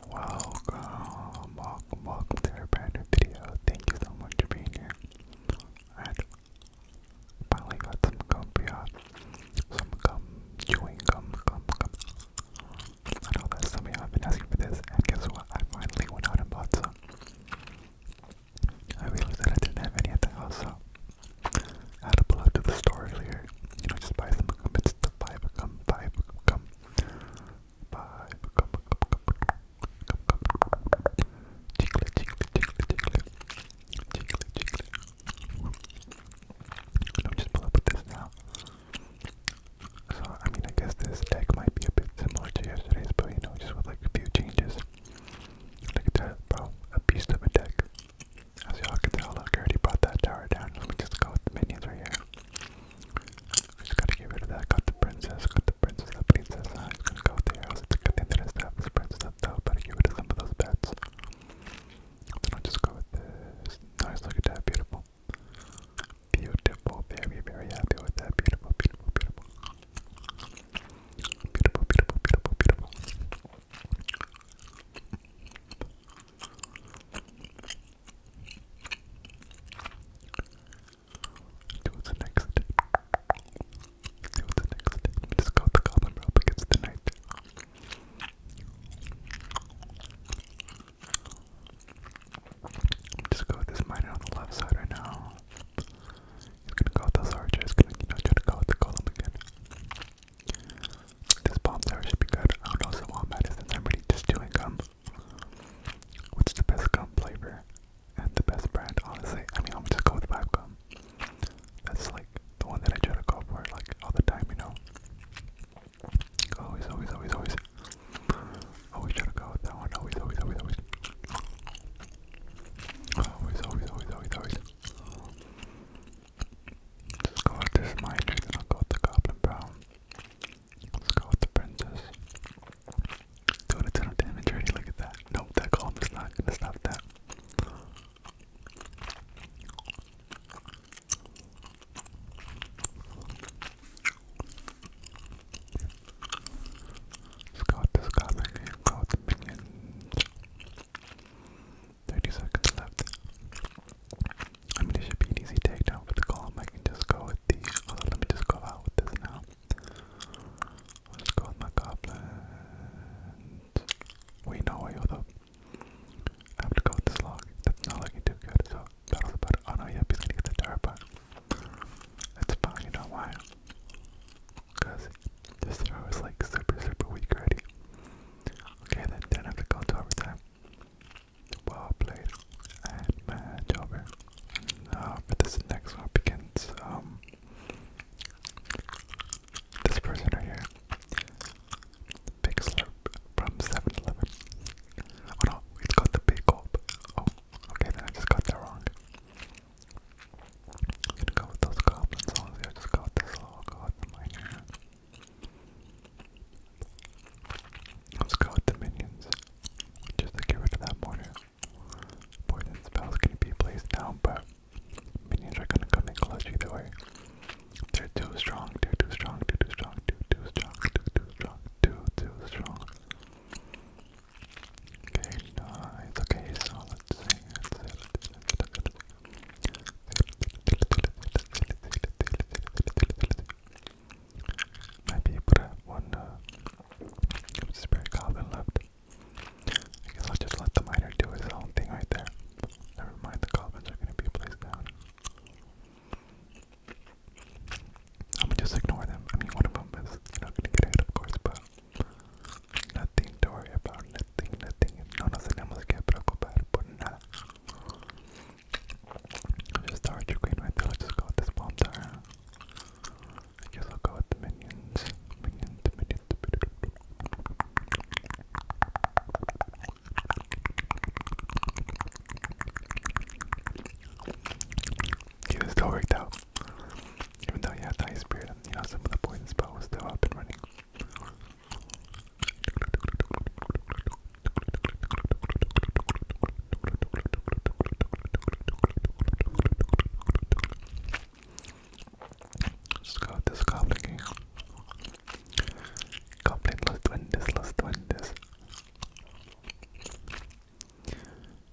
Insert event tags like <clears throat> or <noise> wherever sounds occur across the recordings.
Welcome, welcome, welcome to a brand new video. Thank you so much for being here. And finally got some gum for y'all. Some gum, chewing gum, gum, gum. I know that some of y'all have been asking for this, and guess what? I finally went out and bought some. I realized that I didn't have any at the house, so I had to pull out to the store earlier. You know, just buy some gum. It's the five gum, five gum. I'm just pull up with this now. So I mean, I guess this deck might be a bit similar to yesterday's, but you know, just with like a few changes. Look at that, bro! A beast of a deck. As y'all can tell, I already brought that tower down. Let me just go with minions right here. Just gotta get rid of that. Got the princess, got the princess, the princess. I'm gonna go there. I was thinking that I still have this princess up top, but I get rid some of those bets. Then I'll just go with this. Nice, look at that. Beautiful. Beautiful. Very, very happy with that. Beautiful, beautiful, beautiful. Beautiful, beautiful, beautiful, beautiful. Do the next? Do the next? Just go with the goblin rope against the Just go with this miner on the left side right now. He's gonna go with those archers, gonna you know try go with the golem again. This bomb there should be good. I don't know if the wombat is I'm really just doing um What's the best gum flavor and the best brand? Honestly, I mean, I'm just go with Vibe Gum. That's like the one that I try to go for like all the time, you know. Always, always, always, always. Always try to go with that one. Always, always, always, always. Always, always, always, always, always. Just go with this minor, then I'll go with the Goblin Brown. Let's go with the princess. Dude, a ton of damage already, look at that. Nope, that column is not gonna stop that. Let's go with this gothic here, go with the minions. 30 seconds left. I mean, it should be an easy takedown for the column. I can just go with the. let me just go out with this now. Let's my goblin. Wait, no, wait, hold up. I have to go with this log. That's not looking too good, so battle the battle. Oh no, yep, he's to get the tower, but that's fine, you know why? Because this throw is like super, super weak already. Okay, then, then I have to go to overtime. Well played. And match over. Uh, for this next one begins, um, this person right here. Big from 7 Oh no, it's got the big gulp. Oh, okay, then I just got that wrong. gonna go with those goblins, honestly. Oh, I just got this little oh, god my hand. Let's go with the minions. Just to get rid of that mortar. Poison spell's going be placed down, but minions are gonna come in clutch either way. They're too strong, too too strong, too too strong, too too strong, too too strong. Okay, nice. Okay, so let's see. Might be one uh, spare left. I guess I'll just let the miner do his own thing right there. Never mind, the goblins are gonna be placed down. I'm just ignore them. I mean, one of them is you gonna get hit, of course, but nothing to worry about. Nothing, nothing. No nos tenemos que preocupar por nada. I Just started archer queen right there. I just go with this bomb tower. I guess I'll go with the minions. Minions, minions, minions. He still worked out. Even though he had the ice you know some of the poison spell was still up and running let go with this goblin Goblin, let's win this,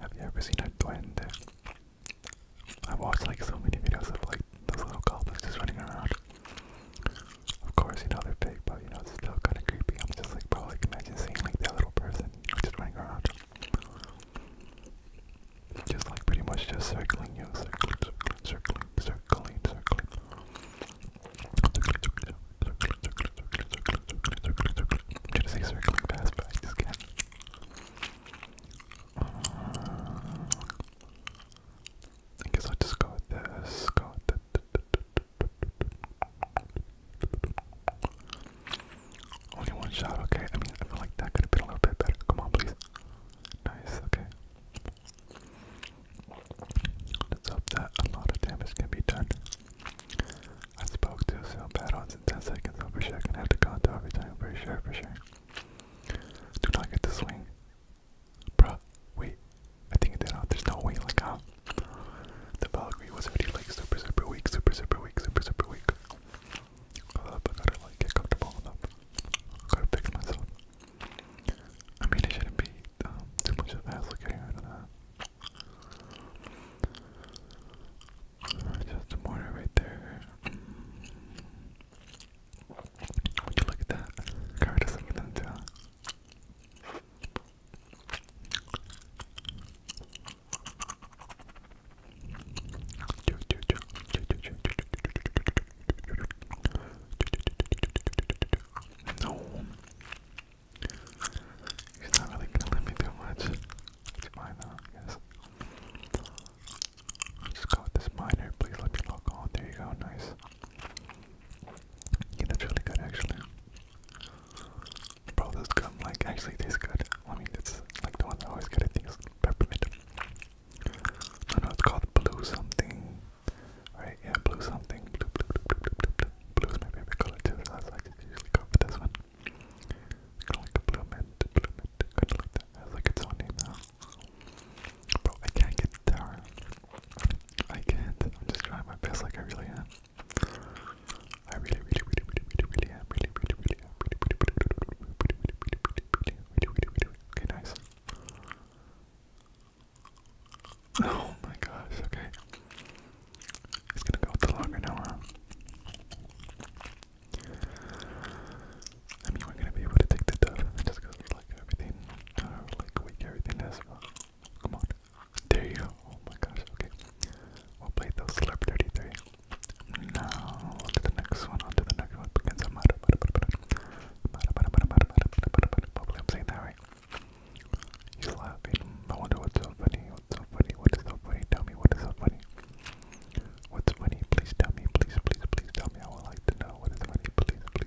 Have you ever seen a duende? I watched like so many videos of like those little goblins just running around. Of course, you know they're big, but you know it's still kind of creepy. I'm just like, probably like imagine seeing like that little person just running around, just like pretty much just circling you, circling, circling, circling, circling, circling, circling, circling, circling, circling, circling, circling, circling. I'm trying to circling fast, but I I guess I'll just go with this. Only one shot, okay. I mean, I feel like that could have been a little bit better. Come on, please. Nice, okay. Let's hope that a lot of damage can be done. I spoke too soon. Bad odds in 10 seconds. I'm for sure gonna have to counter every time. For sure, for sure. Do not get the swing. Bruh, wait. I think that out. Uh, there's no way like how uh, the Valkyrie was already like super super weak, super super weak, super super weak. Hold up, uh, I gotta like get comfortable. Hold up, I gotta fix myself. I mean, it shouldn't be um, too much of a hassle getting out of that. Just a mortar right there. Would you look at that? Got rid of some of them too oh he's not really killing me too much. It's mine now, I just go with this miner. Please let me lock on. There you go. Nice. Yeah, really good actually. Bro, this gum like actually tastes good. I mean, it's like the one I always get. I think peppermint. I know it's called blue something, right? Yeah, blue something. Blue, blue, blue, blue, blue, blue. Blue is my favorite color too, so that's why usually go for this one. Kind of like a blue mint, blue mint, kind of like that. It has like its own name now. Bro, I can't get the I can't. I'm just trying my best, like I really am. I really, really, really, really, really, really am. Really, really, really am. Really, really, really, really, really, really, really, really, really. Okay, nice. Oh my gosh. Okay. He's gonna go with the longer now. Huh? I mean, we're gonna be able to take the dove and just go like everything, uh, like weak everything as well. Come on. There you go. Oh my gosh, okay. We'll play those slurp 33. Now, to the next one, on to the next one. Begins a matter, matter, matter, matter, matter, matter, matter, matter, matter, Probably I'm saying that right. You're laughing. I wonder what's so funny. What's so funny? What is so funny? Tell me what is so funny. What's funny? Please tell me. Please, please, please tell me. I would like to know what is funny. Please, please,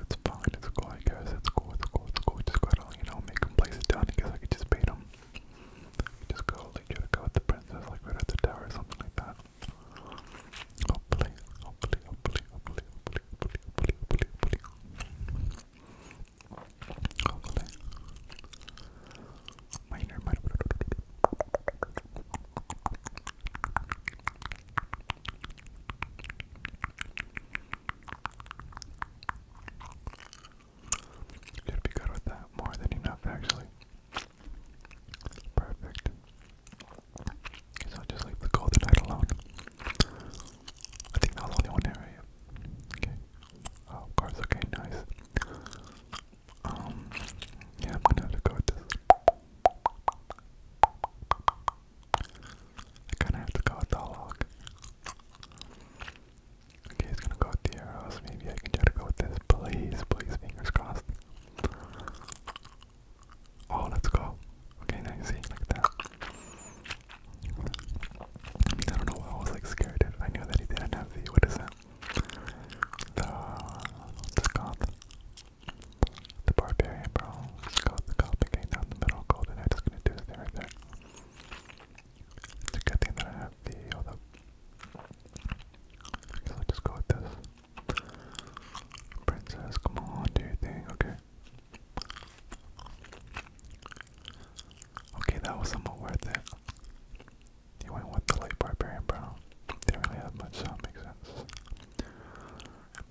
It's fine, it's cool, I guess. It's cool, it's cool, it's cool. Just go to, you know, make him place it down. I guess I could just bait him. Just go, like, try to go with the princess, like, right at the tower or something like that. Hopefully, hopefully, hopefully, hopefully, hopefully, hopefully, hopefully, hopefully, hopefully. Hopefully. Minor, minor. You'd be good with that more than enough, actually. Perfect. So I'll just leave the golden night alone. I think that was only one area. Okay. Oh, of Okay, nice. Um, yeah, I'm gonna have to go with this. I kind of have to go with Dollhog. Okay, he's gonna go with the arrows. Maybe I can try to go with this. Please, please, fingers crossed. Oh, let's go. Okay, now you see, like that. I don't know why I was like scared. I knew that he didn't have the what is it? The, the goth. The Barbarian Brawl. It's called the Gothic Gang down the middle. Golden Knight is gonna do his thing right there. It's a good thing that I have the hold up. So i just go with this. Princess, come on, do your thing, okay. Okay, that was somewhat worth it. He went with the light barbarian brown. Didn't really have much, so that makes sense.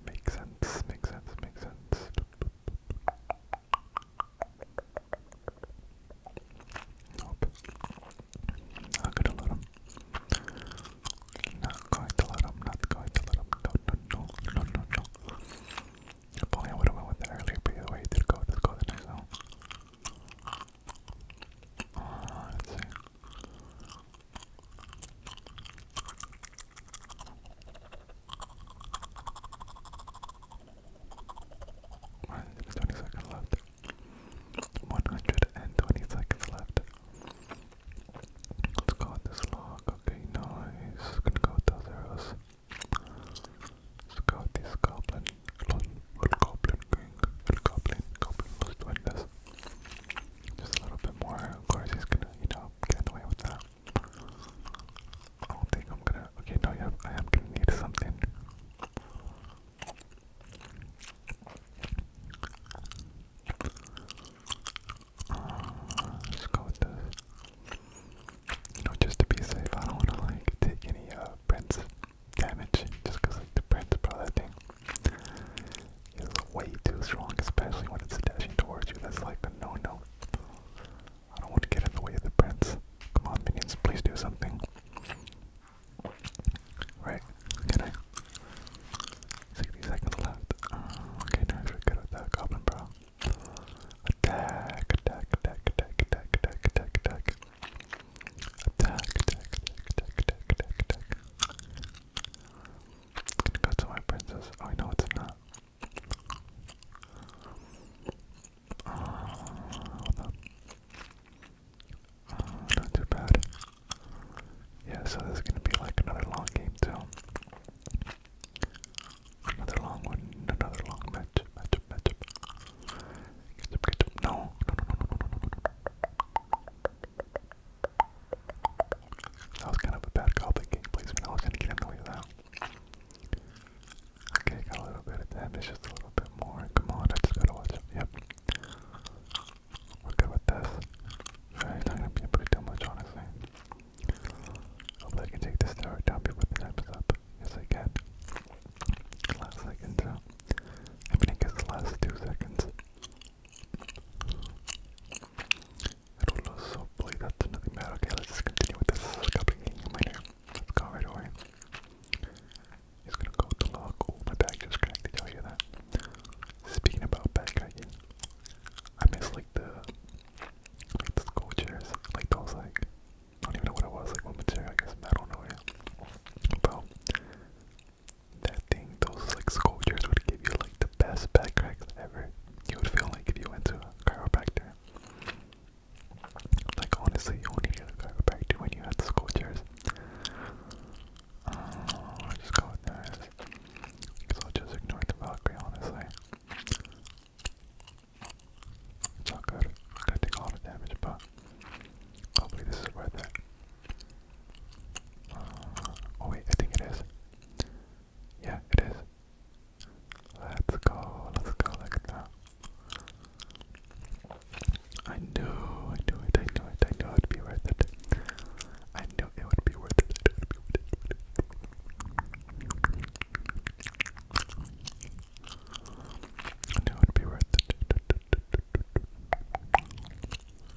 Makes sense, makes sense, makes sense. Nope. Not gonna let him. Not going to not going to let him. No, no, no, no, no, no. If only I would have went with that earlier, but either way, it did go. go the next one. let's see. 120 seconds left. 120 seconds left. Let's go with this log. Okay, nice. Gonna go with those arrows. Let's go with this goblin. Little goblin king. Little goblin. this. Just a little bit more. Of course, he's gonna, you know, get away with that. I don't think I'm gonna. Okay, no, yeah, I am gonna need something. Uh, go with this. You know, just to be safe, I don't wanna like take any uh prints damage just like the prints, bro, thing is way too strong, especially when it's dashing towards you. That's like a no-no. I don't want to get in the way of the prince. Come on, minions, please do something. Right, can I? 60 seconds left. Uh, okay, nice, we're good at that, Goblin Bro. attack, attack, attack, attack, attack. Attack, attack, attack, attack, attack, attack, attack gonna go to my princess. Oh, no, it's not. Uh, hold uh, not too bad. Yeah, so this is gonna be like another long game too. Another long one, another long match, matchup, matchup. no, no, no, no, no, no. That was kind of a bad goblin game placement. I was gonna get annoyed with that. Okay, got a little bit of damage, just a little bit more. Come on, I just gotta watch Yep. We're good with this. Right, it's not gonna be able to do much, honestly. Hopefully I can take this tower down before the time is up. Yes, I can. Last second, so. Uh, I mean, I guess the last two seconds. I don't so play nothing bad. Okay, let's just continue with this. There's a couple of game minor. Let's go right away. He's gonna go with the log. Oh, my bag just connected. Y'all hear that? Speaking about backpacking, I miss like the the school chairs, like those like I don't even know what it was, like what material, I guess metal, no yeah. Bro, that thing, those like sculptures would give you like the best back cracks ever. You would feel like if you went to a chiropractor. Like honestly, you only get a chiropractor when you had the sculptures. Oh, i just go with that. Because i just ignore the Valkyrie, honestly. It's all good. I'm a lot damage, but hopefully this is worth it. Uh, oh wait, I think it is. Yeah, it is. Let's go, let's go like that. I knew, I knew it, I knew it, I knew it would be worth it. I knew it would be worth it. I knew it would be worth it.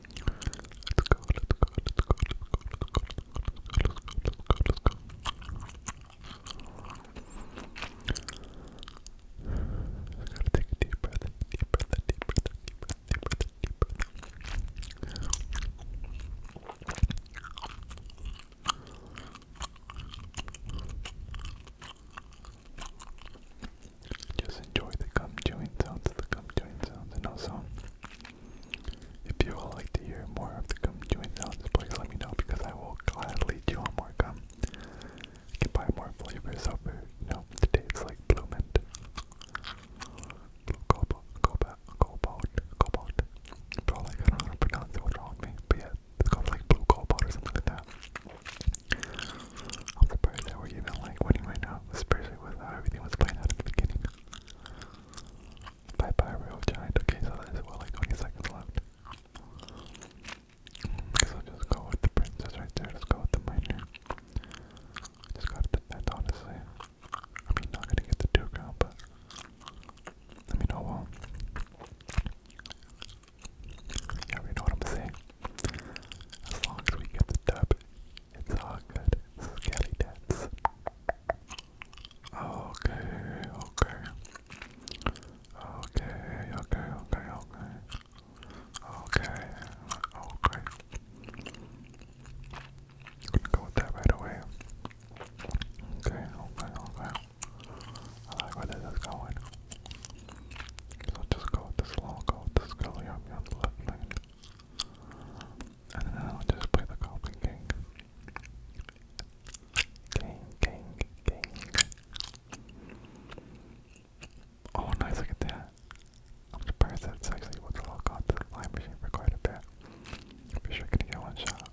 Let's go, let's go, let's go, let's go, let's go, let's go, let's go, let's go, let's go. take a deep breath, deep breath, deep breath, deep breath, deep breath, deep breath just enjoy the gum chewing sounds, the gum chewing sounds, and also if you all like to hear more of the gum chewing sounds, please let me know because I will gladly do on more gum. can buy more flavors over, you know, today it's like blue mint, blue cobalt, cobalt, cobalt, cobalt. But like, I don't know how to pronounce it, what's me, but it's called like blue cobalt or something like that. I'm surprised that we're even like winning right now. The Spurs everything was playing out at the beginning. Bye bye, real giant. Okay, so that's well like 20 seconds left. Because I'll go with the princess right there. Let's go with the miner. Just gotta defend, honestly. I mean, not gonna get the duke out, but. I mean, oh well. You know what I'm saying. As long as we get the dub, it's all good. Scally dance. Okay, okay. Okay, okay, okay, okay. Okay, okay. I'm gonna go with that right away. Okay, okay, okay. I like where this is going. So just go with this long, go with this girl here on the left lane. I don't know, just play the Goblin King. King, King, King. Oh, nice, look at that. I'm surprised that's it's actually what the law got the line machine for quite a bit. pretty sure I could get one shot.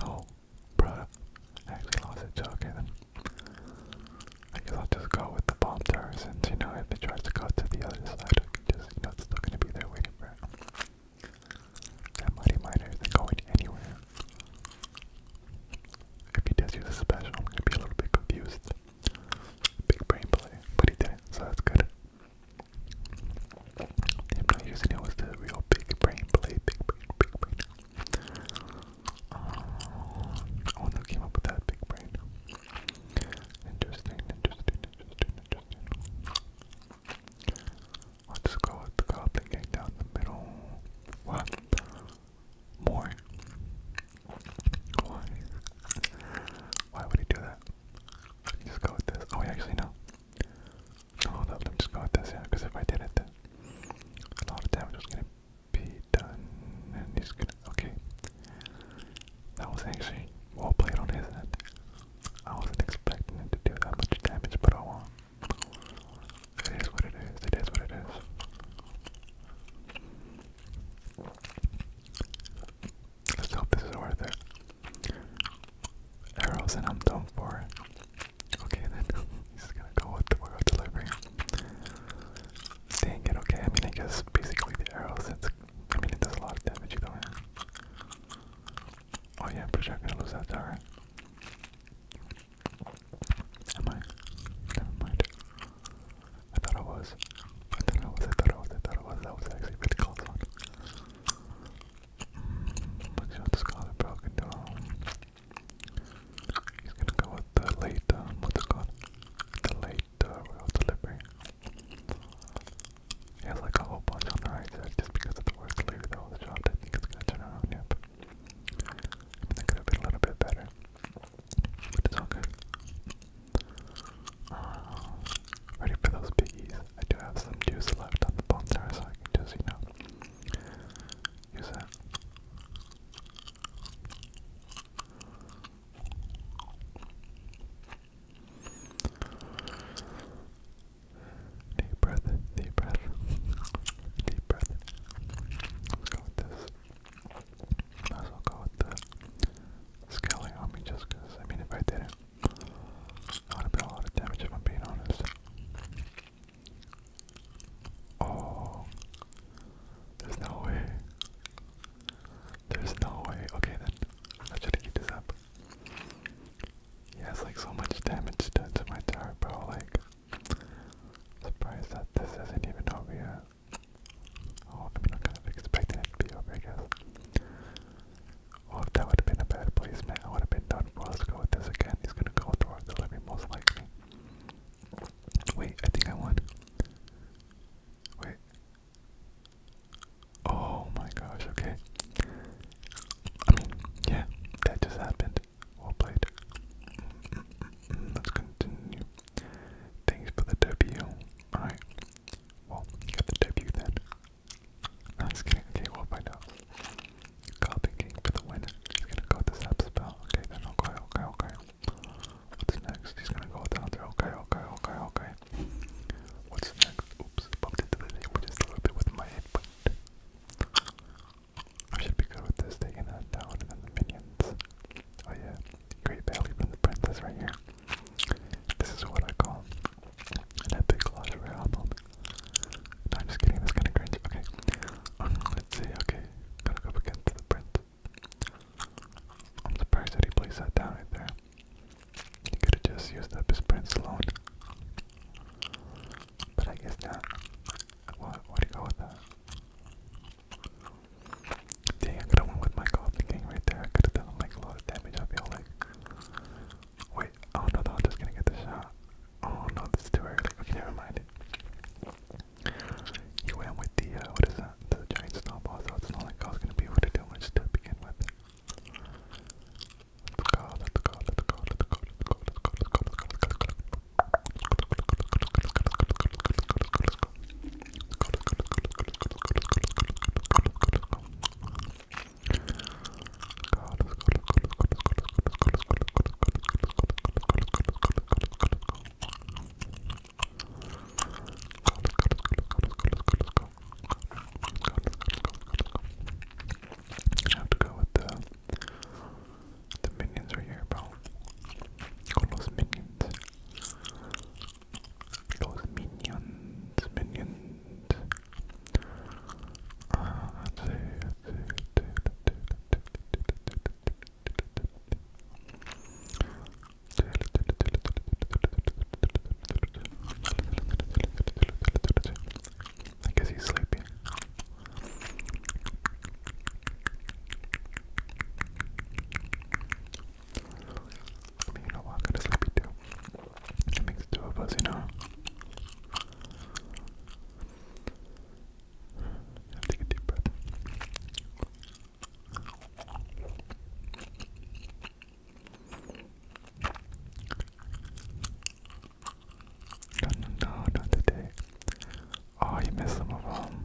No, bruh. actually lost it, so okay then. I guess I'll just go with the bomb towers, and you know, if it tries to go to the other side, I just, you know, it's still gonna be there waiting for it. That money Miner isn't going anywhere. If he does use a special, I'm gonna be a little bit confused. Big brain play, but he so that's good. Him not using it was the real big brain play, big brain, big oh, who came up with that big brain. Interesting, interesting, interesting, interesting. Let's go with the goblin gang down the middle. What? More? Why? Why would he do that? He just go with this. Oh, yeah, actually, no. hold up. Let me just go with this, yeah. Because if I did it, a lot of damage was gonna be done. And he's gonna. Okay. That was actually well played on his end. I wasn't expecting it to do that much damage, but I oh won. is what it is. It is what it is. Let's hope this is worth it. Arrows and I'm done for. Okay, then <laughs> he's gonna go with the world delivery. Dang it, okay. I mean, I guess basically the arrow, since I mean, it does a lot of damage either way. Oh, yeah, I'm pretty sure gonna lose that tower. Am I? Never mind. I thought I was. I thought I was, I thought I was, I thought I was. That was actually pretty close one. Let's see what this called broken He's gonna go with the late, um, what's it called? The uh, right delivery. He has like a whole bunch on the right just because of the work delivery job. I think it's to turn around. Yep. I mean, could have been a little bit better, but it's all good. Uh, ready for those piggies? I do have some juice left on the bone there, so I can just you know use that. Deep breath, deep breath, deep breath. Let's go with this. Might as well go with the scaling on me I mean, if I didn't, I would have a lot of damage if I'm being honest. Oh, there's no way. There's no way. Okay then. I should keep this up. He has like so much damage done to my tower, bro. Like, surprised that this isn't even over yet. Oh, I mean, I'm kind of it to be over, I guess. Oh, if that would have been a bad placement, I would have been done for. let to go with this again. He's gonna go through the delivery, most likely. Wait, I think I want. Wait. Oh my gosh, okay. I mean, yeah, that just happened. Well played. Mm -hmm. Let's continue. Thanks for the W. Alright. Well, got the W then. No, just kidding. Okay, we'll find out. Copy King for the win. Just gonna go with the sap spell. Okay, then, okay, okay, okay. What's next? He's gonna go down there. Okay, okay, okay, okay. What's next? Oops, bumped into the neighbor just a little bit with my head, but I should be good with this, taking that down and then the minions. Oh yeah, great value from the princess right here. This is what I call an epic lottery album. No, I'm just kidding, that's kinda cringe. Okay. <clears throat> let's see, okay. Gotta go up against the prince. I'm surprised that he placed that down right there. He could have just used up his prints alone. But I guess not. What? Why'd he go with that? Dang, could have went with my goblin gang right there. I could have done like a lot of damage. I feel like. Wait, oh no, I'm gonna get the shot. Oh no, this is too early. Okay, never mind. You went with the uh, what is it? the giant snowball, so it's not like I was gonna be able to do much to begin with. Let's go, let's go, let's go, let's go, let's go, let's go, let's go, let's go, let's I have to go with the the minions right here, bro. All those minions. Those minions, minions. Uh, let's see, let's see. I guess he's sleepy. you know what? I'm kind of sleepy too. It makes two of us, you know. Take a deep breath. No, no, no, not today. Oh, you missed some of them.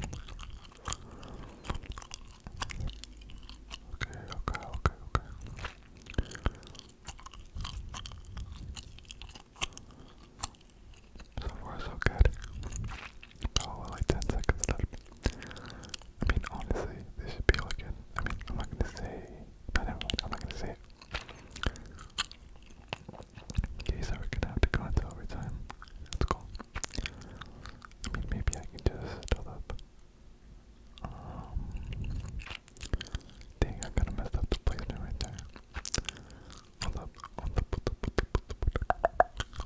Okay, okay, okay, okay. So far, so good. Oh, like 10 seconds left. I mean, honestly, this should be like an. I mean, I'm not gonna say. No, never mind, I'm not gonna say it. Okay, so we're gonna have to go into overtime. That's cool. I mean, maybe I can just fill up. Um. Dang, I kinda messed up the placement right there. Hold up, hold up, hold up, hold up, hold up.